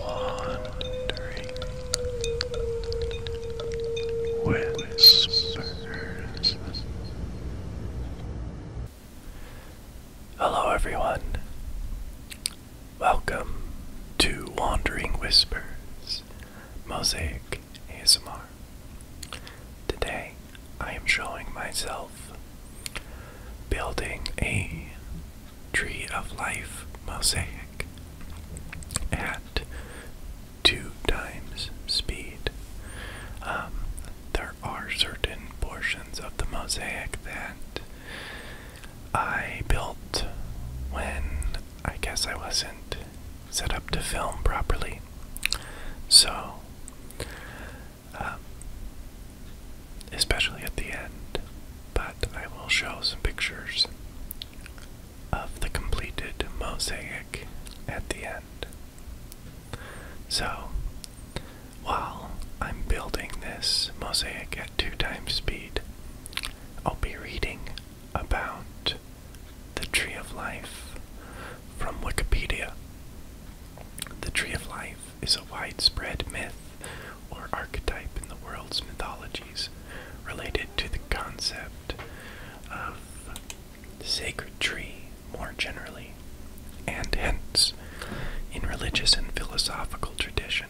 Wandering Whispers. Hello, everyone. Welcome to Wandering Whispers Mosaic ASMR. Today I am showing myself building a Tree of Life mosaic at two times speed. Um, there are certain portions of the mosaic that I built when I guess I wasn't set up to film properly. So um, especially at the end. But I will show some pictures of the completed mosaic at the end. So, while I'm building this mosaic at two times speed, I'll be reading about the Tree of Life from Wikipedia. The Tree of Life is a widespread myth or archetype in the world's mythologies related to the concept of sacred tree more generally, and hence in religious and philosophical tradition.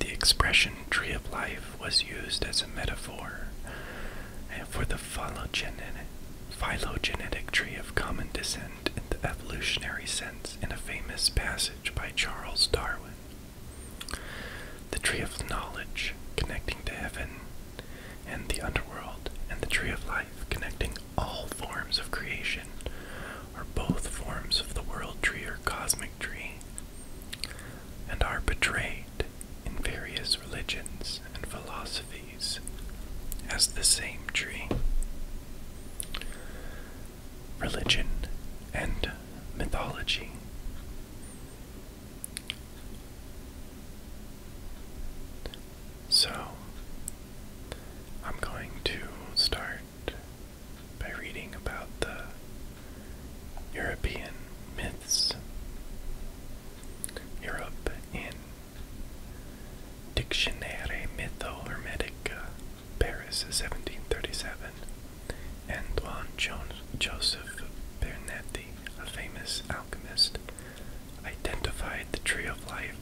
The expression tree of life was used as a metaphor eh, for the phylogenetic tree of common descent in the evolutionary sense in a famous passage by Charles Darwin. The tree of knowledge connecting to heaven and the underworld, and the tree of life connecting all forms of creation, are both forms of the world tree or cosmic tree, and are portrayed in various religions and philosophies as the same tree. Religion and mythology. So, I'm going to start by reading about the European myths. Europe in Dictionnaire Mytho-Hermetica, uh, Paris, 1737. Antoine Jones, Joseph Bernetti, a famous alchemist, identified the Tree of Life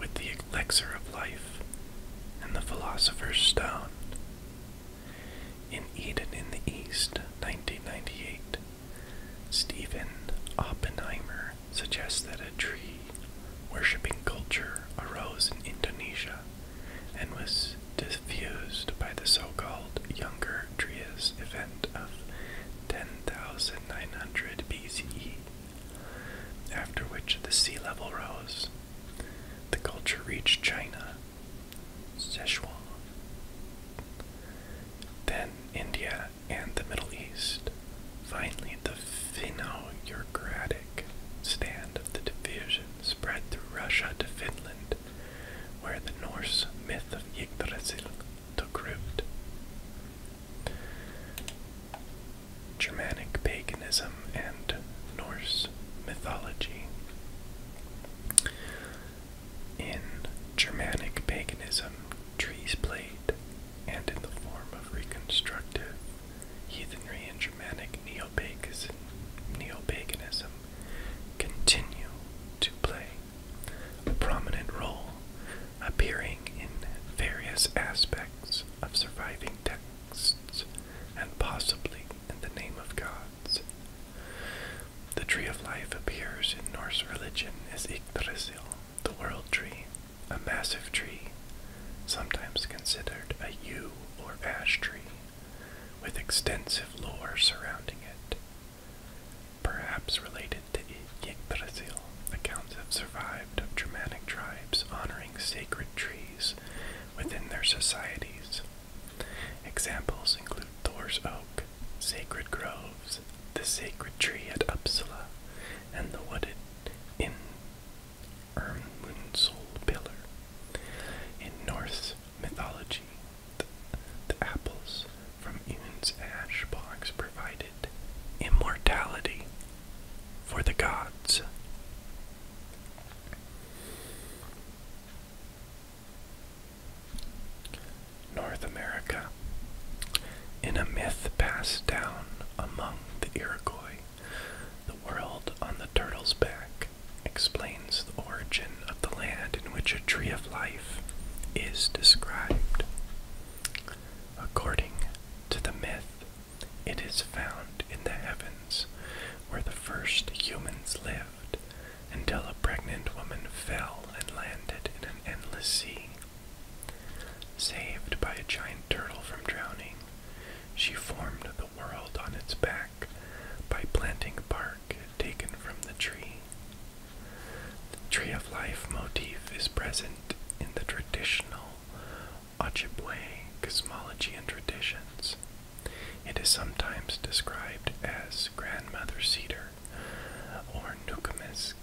with the elixir of life and the Philosopher's Stone. In Eden in the East, 1998, Stephen Oppenheimer suggests that a tree worshipping culture arose in Indonesia and was diffused by the so called Younger Dryas event of 10,900 BCE, after which the sea level rose. The culture reached China, Szechuan, then India, and the Middle East. Finally, the Finno-Ugric stand of the division spread through Russia to Finland, where the Norse myth of Yggdrasil took root. Germanic paganism and Norse mythology. In Germanic paganism, trees played and in the form of reconstructive heathenry and Germanic neo-paganism, continue to play a prominent role, appearing in various aspects of surviving texts and possibly in the name of gods. The Tree of Life appears in Norse religion as Yggdrasil, the world tree, a massive tree, sometimes considered a yew or ash tree, with extensive lore surrounding it. Perhaps related to Yggdrasil, accounts have survived of Germanic tribes honoring sacred trees within their societies. Examples include Thor's Oak, Sacred Groves, the sacred tree at Upsala, and the wooded inn pillar. In Norse mythology, the, apples from Yun's ash box provided immortality for the gods. North America. In a myth passed down among the Iroquois, the world on the turtle's back explains the origin of the land in which a tree of life is described. According to the myth, it is found in the heavens where the first humans lived until a pregnant woman fell and landed in an endless sea Saved by a giant turtle from drowning, she formed the world on its back by planting bark taken from the tree. The tree of life motif is present in the traditional Ojibwe cosmology and traditions. It is sometimes described as grandmother cedar or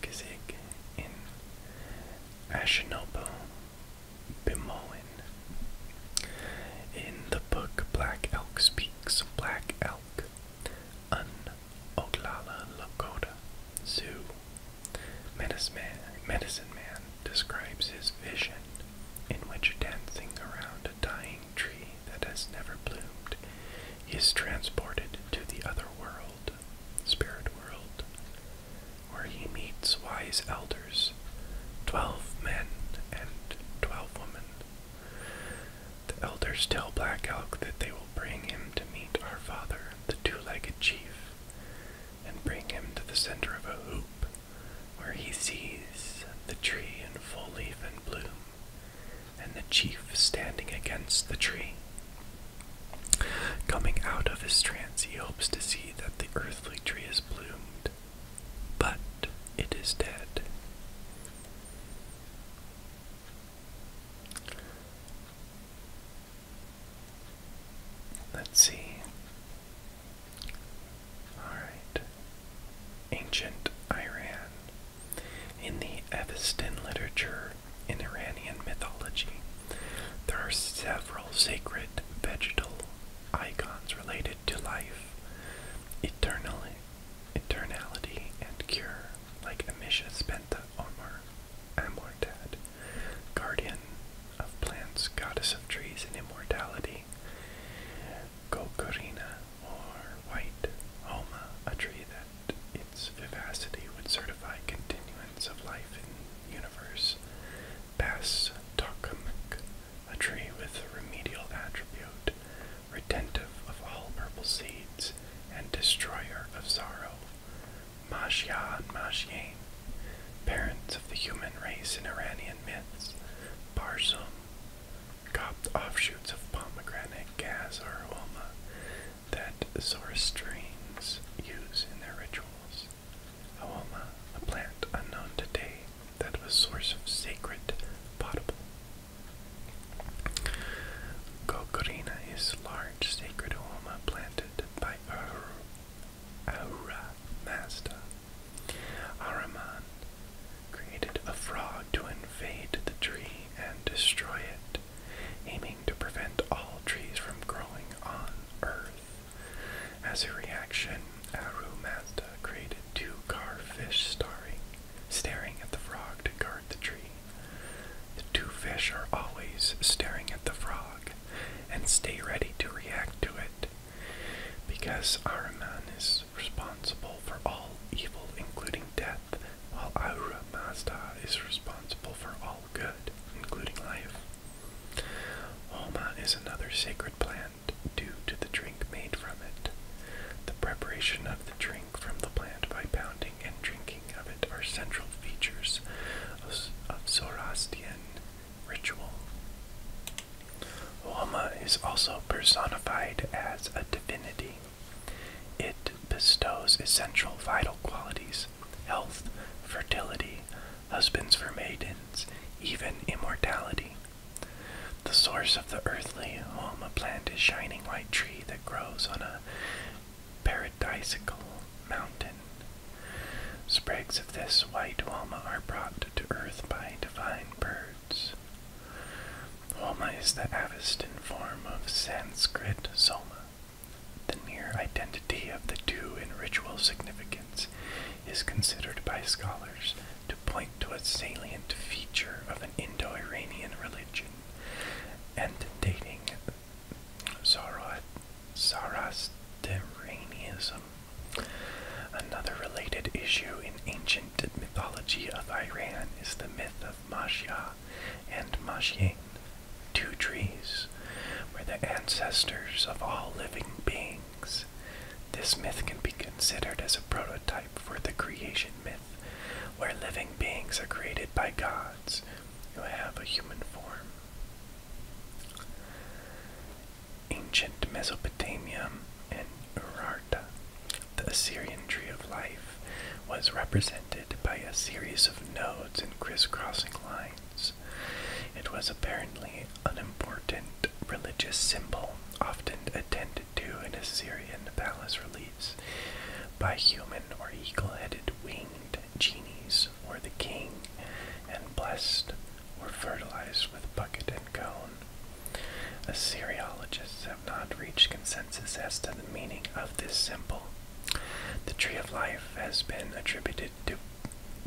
Kizik in Ashinobo Bimoin. In the book Black Elk Speaks, Black Elk, Un Oglala Lakota Zoo, Medicine Man, Medicine Man describes his vision in which dancing around a dying tree that has never bloomed, he is transported to the other world spirit world, where he meets wise elders, twelve men and twelve women. The elders tell Black Elk that they will bring him to meet our father, the two-legged chief, and bring him to the center of a hoop, where he sees the tree in full leaf and bloom, and the chief standing against the tree. Coming out of his trance, he hopes to see that the earthly tree is bloomed, but it is dead. Let's see. Alright. Ancient Iran. In the Avestan literature in Iranian mythology, there are several sacred vegetal icons related to life, eternal, eternality, and cure, like Amishas Benta Omar, Amortad, guardian of plants, goddess of trees and immortality, Gokurina, or white Homa, a tree that vivacity would certify continuance of life in universe. Bass tokamak, a tree with remedial attribute, retentive of all purple seeds, and destroyer of sorrow. Mashya and parents of the human race in Iranian myths. Barzum, copped offshoots of pomegranate, gas, or aroma that Zoroastrians use in their rituals. Haoma, a plant unknown today that was source of sacred potable. Gokorina is large sacred Haoma planted by Ahura Mazda. Ahriman created a frog to invade the tree and destroy it aiming to prevent all trees from growing on Earth. As a reaction, Aru created two car fish starring, staring at the frog to guard the tree. The two fish are always staring at the frog and stay ready to react to it. Because Aruman is responsible for all evil, including death, while Aura Mazda is responsible for all good, including life. Homa is another sacred plant due to the drink made from it. The preparation of the drink from the plant by pounding and drinking of it are central features of Zoroastrian ritual. Homa is also personified as a divinity. It bestows essential vital qualities health, fertility, husbands for maidens, even immortality. The source of the earthly home, a plant is shining white tree that grows on a paradisical mountain. Sprigs of this white walma are brought to earth by divine birds. Soma is the Avestan form of Sanskrit Soma. The near identity of the two in ritual significance is considered by scholars to point to a salient feature of an Indo Iranian religion and dating Zoroastrianism. Another related issue in ancient mythology of Iran is the myth of Masha Mara and Machine, two trees, were the ancestors of all living beings. This myth can be considered as a prototype for the creation myth, where living beings are created by gods who have a human form. Ancient Mesopotamia and Urartu. The Assyrian tree of life was represented by a series of nodes and crisscrossing lines. It was apparently an important religious symbol, often attended to in Assyrian palace reliefs by human or eagle headed winged genies or the king, and blessed or fertilized with bucket and cone. Assyriologists have not reached consensus as to the meaning of this symbol. The tree of life has been attributed to,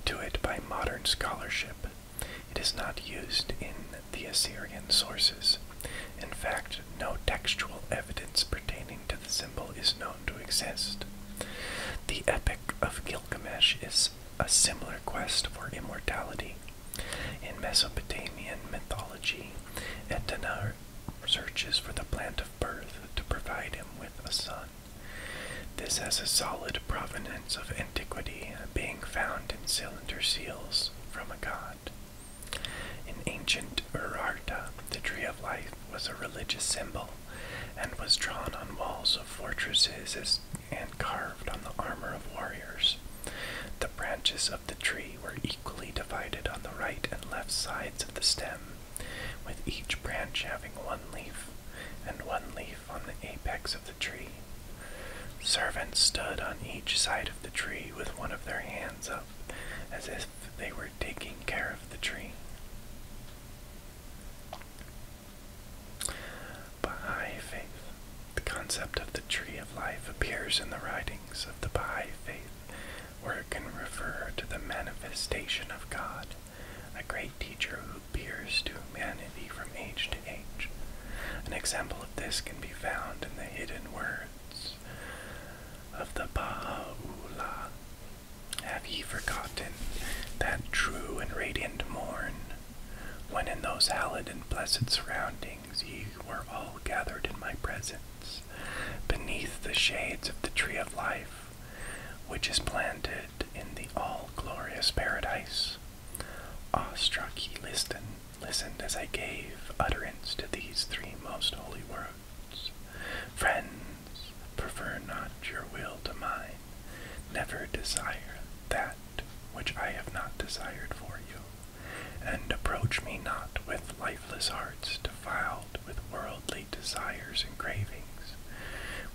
to it by modern scholarship. It is not used in the Assyrian sources. In fact, no textual evidence pertaining to the symbol is known to exist. The Epic of Gilgamesh is a similar quest for immortality. In Mesopotamian mythology, Etana searches for the plant of birth to provide him with a son. This has a solid provenance of antiquity, being found in cylinder seals from a god. In ancient Urartu, the tree of life was a religious symbol and was drawn on walls of fortresses and carved on the armor of warriors. The branches of the tree were equally divided on the right and left sides of the stem, with each branch having one leaf, and one leaf on the apex of the tree. Servants stood on each side of the tree with one of their hands up, as if they were taking care of the tree. Baha'i Faith. The concept of the tree of life appears in the writings of the Baha'i Faith where it can refer to the manifestation of God, a great teacher who peers to humanity from age to age. An example of this can be found in the hidden words of the Baha'u'llah. Have ye forgotten that true and radiant morn, when in those hallowed and blessed surroundings ye were all gathered in my presence, beneath the shades of the tree of life, which is planted in the all glorious paradise. Awestruck ye listened, listened as I gave utterance to these three most holy words. Friends, prefer not your will to mine. Never desire that which I have not desired for you and approach me not with lifeless hearts defiled with worldly desires and cravings.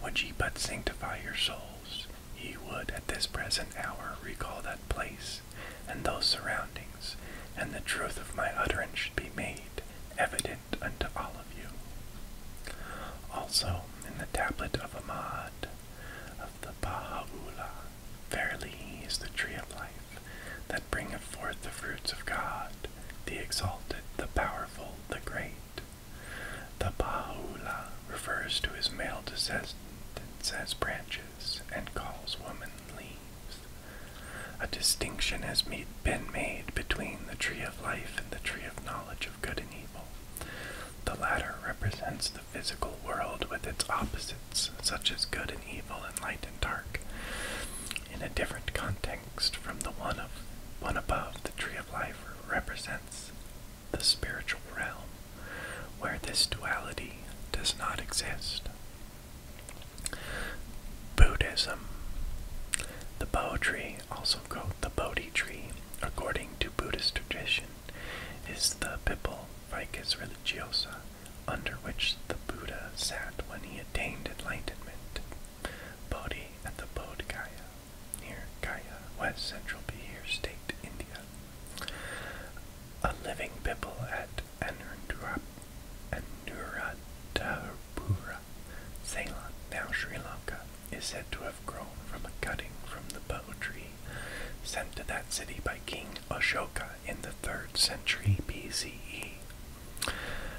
Would ye but sanctify your souls, ye would at this present hour recall that place and those surroundings, and the truth of my utterance should be made evident unto all of you. Also, in the tablet of Ahmad, of the Baha'u'llah, Verily he is the tree of life, that bringeth forth the fruits of God, the exalted, the powerful, the great. The Bahula refers to his male descendants as branches, and calls woman leaves. A distinction has been made between the tree of life and the tree of knowledge of good and evil. The latter represents the physical world with its opposites such as good and evil and light and dark, in a different context from the one of one above the tree of life represents the spiritual realm, where this duality does not exist. Buddhism. The Bo tree, also called the Bodhi tree, according to Buddhist tradition, is the Pipal ficus religiosa, under which the Buddha sat when he attained enlightenment, Bodhi at the Bodh Gaya, near Gaya, West Central Bihar State, India. A living Bible at Anuradhapura, Ceylon, now Sri Lanka, is said to have grown from a cutting from the bow tree sent to that city by King Ashoka in the 3rd century BCE.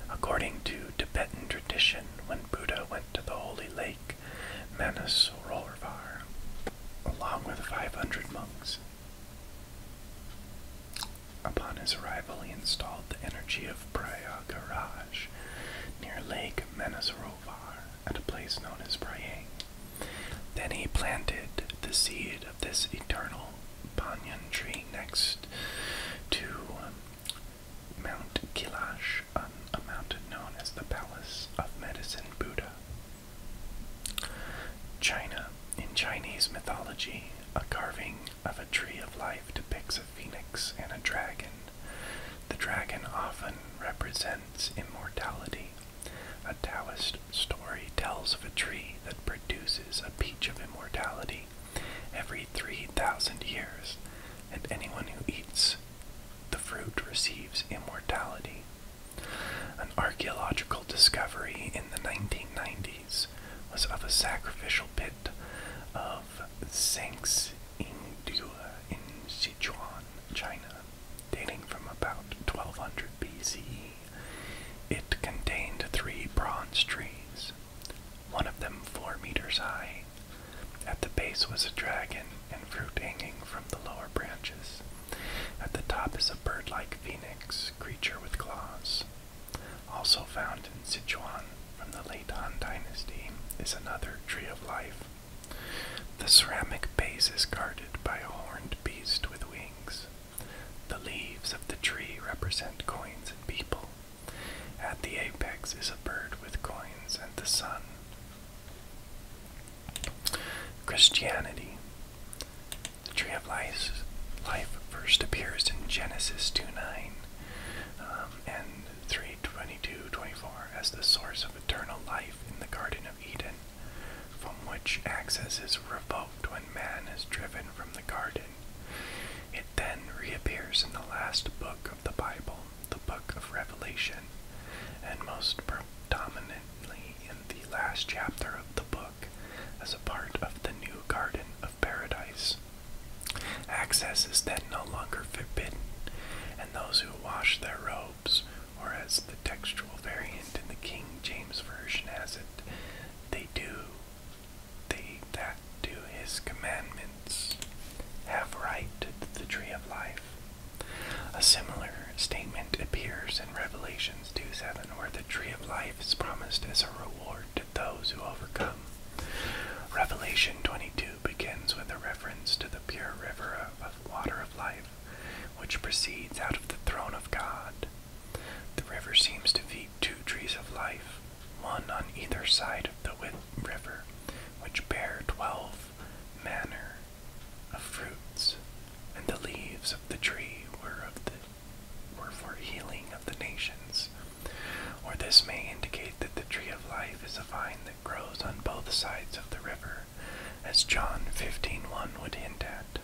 According to Tibetan tradition, when Buddha went to the holy lake Manasarovar along with 500 monks, upon his arrival he installed the energy of Prayagaraj near Lake Manasarovar at a place known as Prayang. Then he planted the seed of this eternal banyan tree next to um, Mount Kilash, a mountain known as the Palace of Medicine Buddha. China. In Chinese mythology, a carving of a tree of life depicts a phoenix and a dragon. The dragon often represents immortality. A Taoist story tells of a tree that produces a peach of immortality every 3,000 years, and anyone who eats the fruit receives immortality. An archaeological discovery in the 1990s was of a sacrificial pit of Sanx Indua in Sichuan, China, dating from about 1200 BCE. It contained three bronze trees, one of them four meters high. At the base was a dragon and fruit hanging from the lower branches. At the top is a bird like phoenix creature with claws. Also found in Sichuan from the late Han Dynasty is another tree of life. The ceramic base is guarded by a horned beast with wings. The leaves of the tree represent coins and people. At the apex is a bird with coins and the sun. Christianity. The tree of life, life first appears in Genesis 2 9 um, and 3 24 as the source of eternal life in the Garden of Eden from which access is revoked when man is driven from the garden. It then reappears in the last book of the Bible, the book of Revelation, and most predominantly in the last chapter of the book as a part of the new garden of paradise. Access is then no longer forbidden, and those who wash their robes or as the textual variant in the King James Version has it, they do, they that do his commandments have right to the tree of life. A similar statement appears in Revelations 2:7, where the tree of life is promised as a reward to those who overcome. Revelation 22 begins with a reference to the pure river of water of life, which proceeds out of the throne of God. The river seems to feed two trees of life, one on either side of the river, which bear twelve manner of fruits, and the leaves of the tree were of the were for healing of the nations. Or this may indicate that the tree of life is a vine that grows on both sides of the river, as John 15.1 would hint at.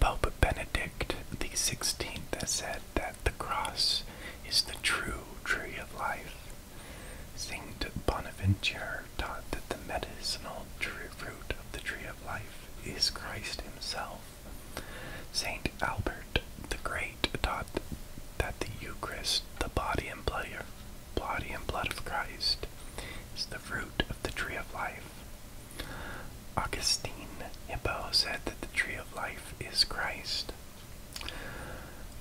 Pope Benedict XVI has said that the cross is the true tree of life. Saint Bonaventure taught that the medicinal fruit of the tree of life is Christ himself. Saint Albert the Great taught that the Eucharist, the body and blood body and blood of Christ, is the fruit of the tree of life. Augustine Hippo said that the tree of life is Christ.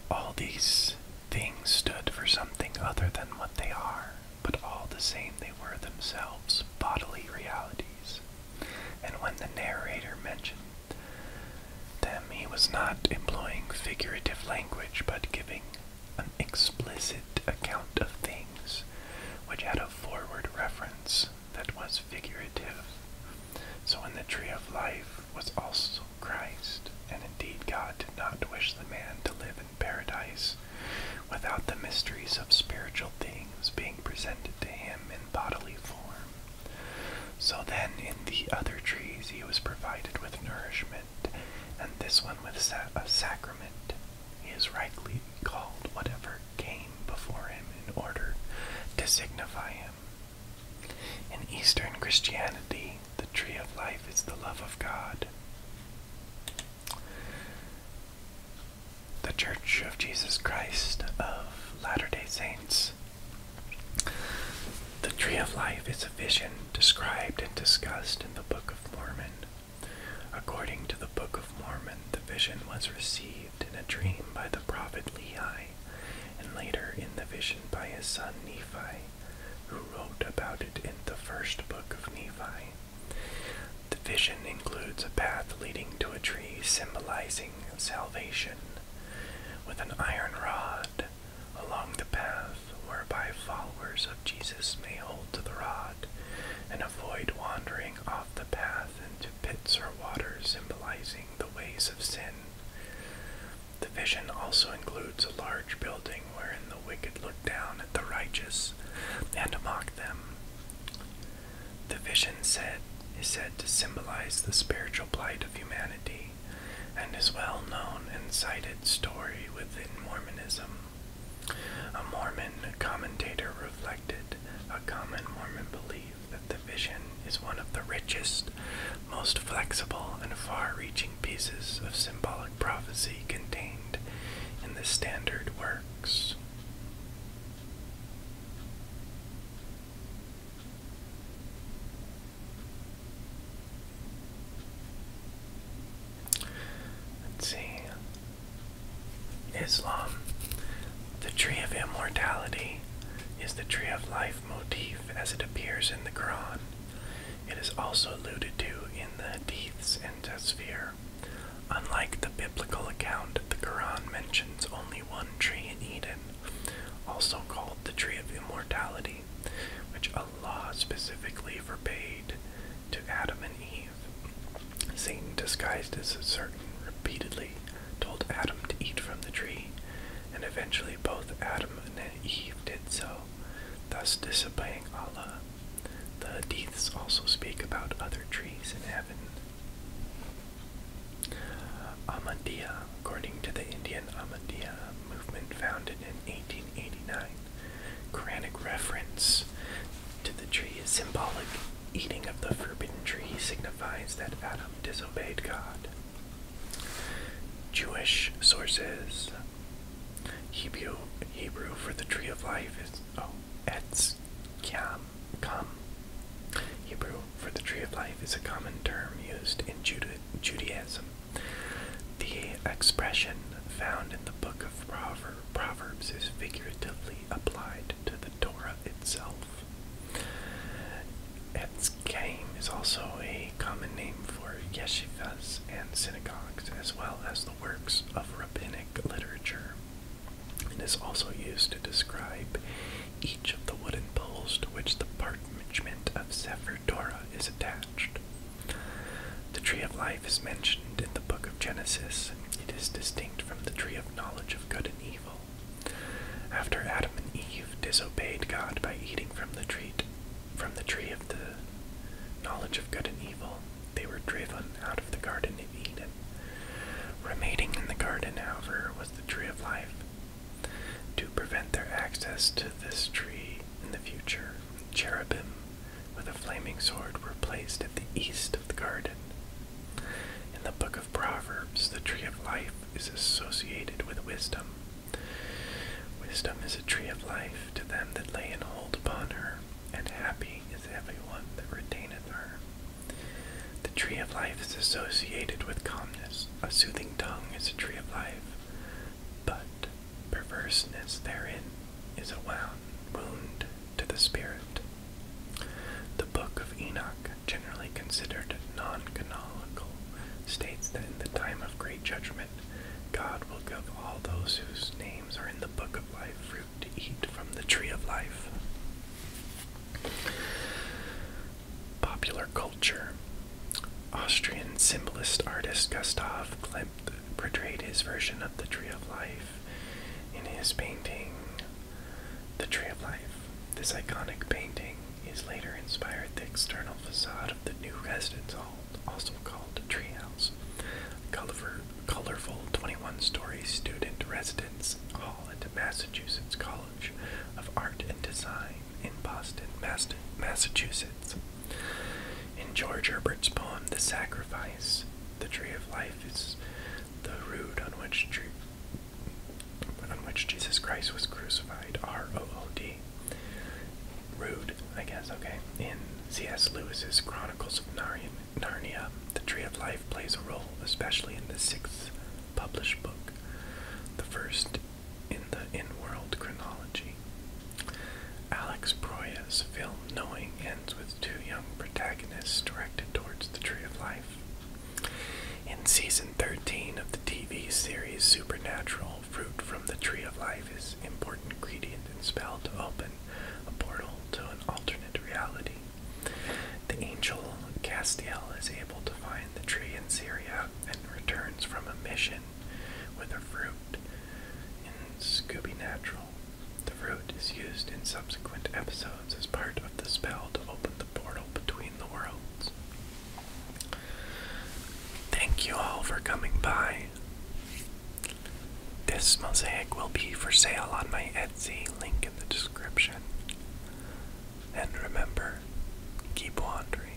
All these things stood for something other than what they are, but all the same they were themselves bodily realities. And when the narrator mentioned them, he was not employing figurative language but giving an explicit account of things which had a forward reference that was figurative. So in the tree of life was also Christ, and indeed God did not wish the man to live in paradise without the mysteries of spiritual things being presented to him in bodily form. So then in the other trees he was provided with nourishment and this one with a Sacrament. is rightly called whatever came before him in order to signify him. In Eastern Christianity, the tree of life is the love of God. The Church of Jesus Christ of Latter day Saints. The tree of life is a vision described and discussed in the Book of Mormon. According to the Book of Mormon, the vision was received in a dream by the prophet Lehi, and later in the vision by his son Nephi, who wrote about it in the first book of Nephi. The vision includes a path leading to a tree symbolizing salvation, with an iron rod along the path whereby followers of Jesus may hold to the rod and avoid wandering off the path into pits or waters symbolizing the ways of sin. The vision also includes a large building wherein the wicked look down at the righteous and mock them. The vision said is said to symbolize the spiritual plight of humanity and is well known and cited story within Mormonism. A Mormon commentator reflected a common Mormon belief that the vision is one of the richest, most flexible, and far reaching pieces of symbolic prophecy contained in the standard works. Let's see. Islam. The tree of immortality is the tree of life motif as it appears in the Quran. It is also alluded to in the Hadiths and Tasvir. Unlike the biblical account, the Quran mentions only one tree in Eden, also called the tree of immortality which Allah specifically forbade to Adam and Eve. Satan, disguised as a serpent, repeatedly told Adam to eat from the tree, and eventually both Adam and Eve did so, thus disobeying Allah. The hadiths also speak about other trees in heaven. Ahmadiyya, according to the Indian Ahmadiyya movement founded in 1889, Quranic reference to the tree is symbolic. Eating of the forbidden tree signifies that Adam disobeyed God. Jewish sources. Hebrew Hebrew for the tree of life is oh etz kiam kam. Hebrew for the tree of life is a common term used in Judaism the expression found in the book of Proverbs is figuratively applied to the Torah itself. Etzkeim is also a common name for yeshivas and synagogues, as well as the works of rabbinic literature. It is also used to describe each of the wooden poles to which the parchment of Sefer longer is attached. The tree of life is mentioned in the book of Genesis. It is distinct from the tree of knowledge of good and evil. After Adam and Eve disobeyed God by eating from the tree, from the tree of the knowledge of good and evil, they were driven out of the Garden of Eden. Remaining in the garden, however, was the tree of life. To prevent their access to this tree in the future, cherubim with a flaming sword were placed at the east of the garden. In the book of Proverbs, the tree of life is associated with wisdom. Wisdom is a tree of life to them that lay an hold upon her, and happy is every one that retaineth her. The tree of life is associated with calmness. A soothing tongue is a tree of life but perverseness therein is a wound to the spirit. The Book of Enoch, generally considered non canonical, states that in the time of great judgment, God will give all those whose names are in the Book of Life fruit to eat from the tree of life. Popular culture Austrian symbolist artist Gustav Klimt portrayed his version of the Tree of Life in his painting, The Tree of Life. This iconic painting is later inspired the external facade of the new residence hall, also called Tree House, colorful, colorful 21 story student residence hall at Massachusetts College of Art and Design in Boston, Massachusetts. In George Herbert's poem, The Sacrifice, the tree of life is the Rood on which, Jesus Christ was crucified, R O O D. Rude, I guess, okay. In C.S. Lewis's Chronicles of Narnia, the Tree of Life plays a role, especially in the sixth published book. The first in the in-world chronology. Alex Proya's film Knowing ends with two young protagonists directed towards the Tree of Life. In season 13 of the TV series Supernatural, fruit from the Tree of Life is important ingredient in spell to open a portal to an alternate reality. The angel Castiel is able to find the tree in Syria and returns from a mission with a fruit in Scooby Natural. The fruit is used in subsequent episodes as part of the spell to open the portal between the worlds. Thank you all for coming by. This mosaic will be for sale on my Etsy, link in the description. And remember, keep wandering.